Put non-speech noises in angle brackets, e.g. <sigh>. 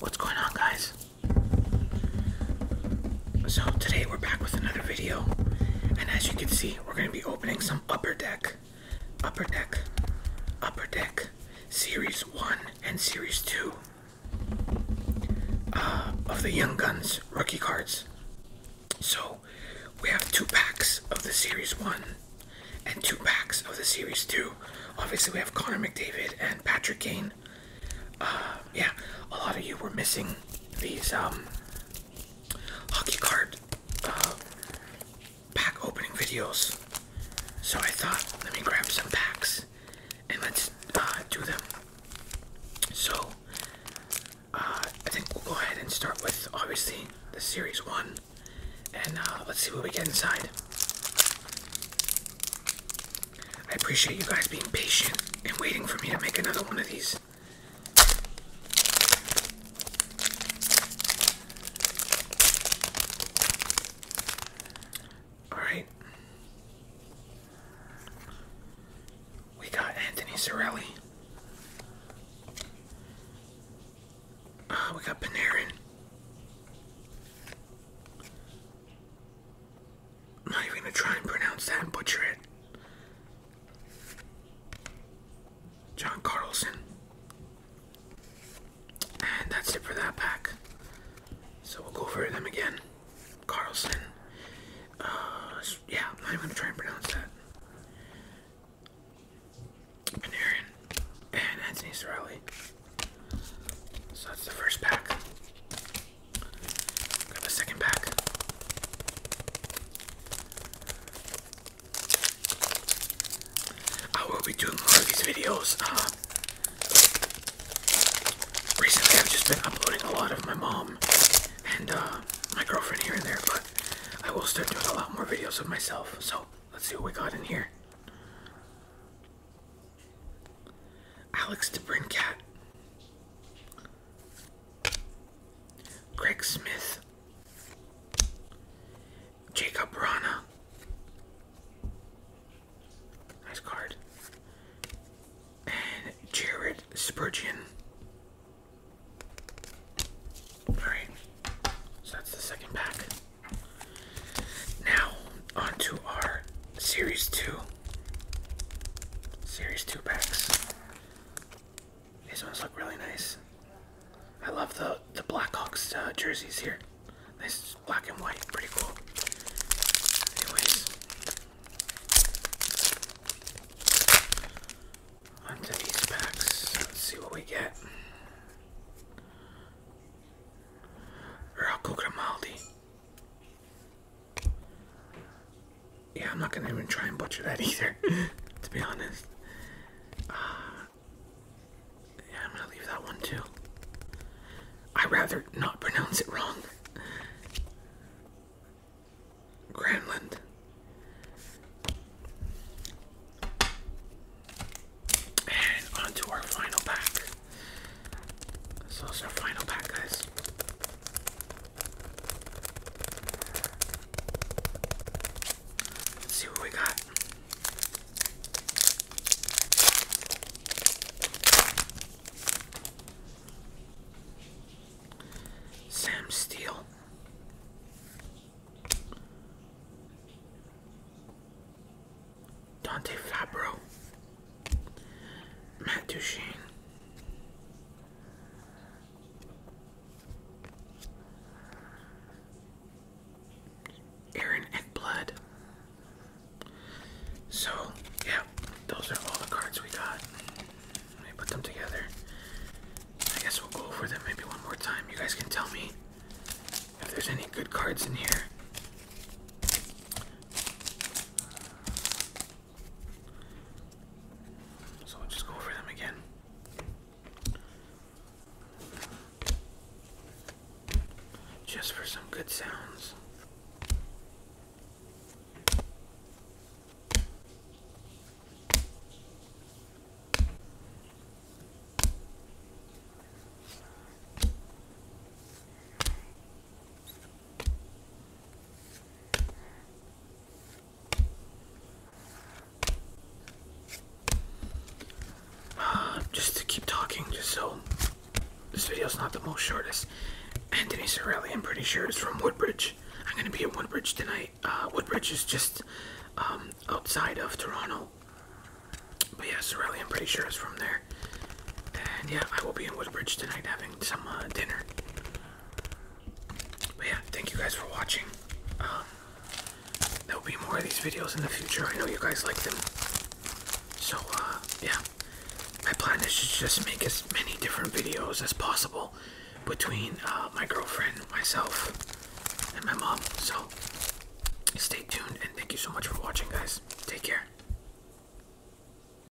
What's going on, guys? So, today we're back with another video, and as you can see, we're going to be opening some Upper Deck, Upper Deck, Upper Deck Series 1 and Series 2 uh, of the Young Guns rookie cards. So, we have two packs of the Series 1 and two packs of the series two. Obviously, we have Connor McDavid and Patrick Kane. Uh, yeah, a lot of you were missing these um, hockey card uh, pack opening videos, so I thought let me grab some packs and let's uh, do them. So uh, I think we'll go ahead and start with obviously the series one and uh, let's see what we get inside. I appreciate you guys being patient and waiting for me to make another one of these. Alright. We got Anthony Sorelli. Uh, we got Panarin. not even gonna try and pronounce that and butcher it. John Carlson. And that's it for that pack. So we'll go over them again. Carlson, uh, yeah, I'm not even gonna try and pronounce that. Panarin and Anthony Sorelli. So that's the first pack. Got the second pack. I will be doing more of these videos. Uh, recently, I've just been uploading a lot of my mom and uh, my girlfriend here and there, but I will start doing a lot more videos of myself. So let's see what we got in here. Alex DeBrincat, Greg Smith, Jacob Rana, Nice card. And Jared Spurgeon. Alright, so that's the second pack. Now, on to our Series 2. Series 2 packs. These ones look really nice. I love the, the Blackhawks uh, jerseys here. This is black and white, pretty cool. Anyways, onto these packs. Let's see what we get. Rocco Grimaldi. Yeah, I'm not gonna even try and butcher that <laughs> either, to be honest. Ah, yeah, I'm gonna leave that one too. I rather not pronounce it wrong. Greenland. And on our final pack. So it's our final pack, guys. see what we got. Sam Steele. Dante Fabro. Matt Duchene. Aaron and Blood. So, yeah, those are all the cards we got. Let me put them together. I guess we'll go over them maybe one more time. You guys can tell me if there's any good cards in here. So we'll just go over them again. Just for some good sounds. Uh, <sighs> just to keep talking, just so this video's not the most shortest. Anthony Sorelli, I'm pretty sure, is from Woodbridge. I'm gonna be in Woodbridge tonight. Uh, Woodbridge is just um, outside of Toronto. But yeah, Sorelli, I'm pretty sure, is from there. And yeah, I will be in Woodbridge tonight having some uh, dinner. But yeah, thank you guys for watching. Um, there'll be more of these videos in the future. I know you guys like them. So, uh, yeah. My plan is to just make as many different videos as possible between uh, my girlfriend, myself, and my mom. So, stay tuned and thank you so much for watching, guys. Take care.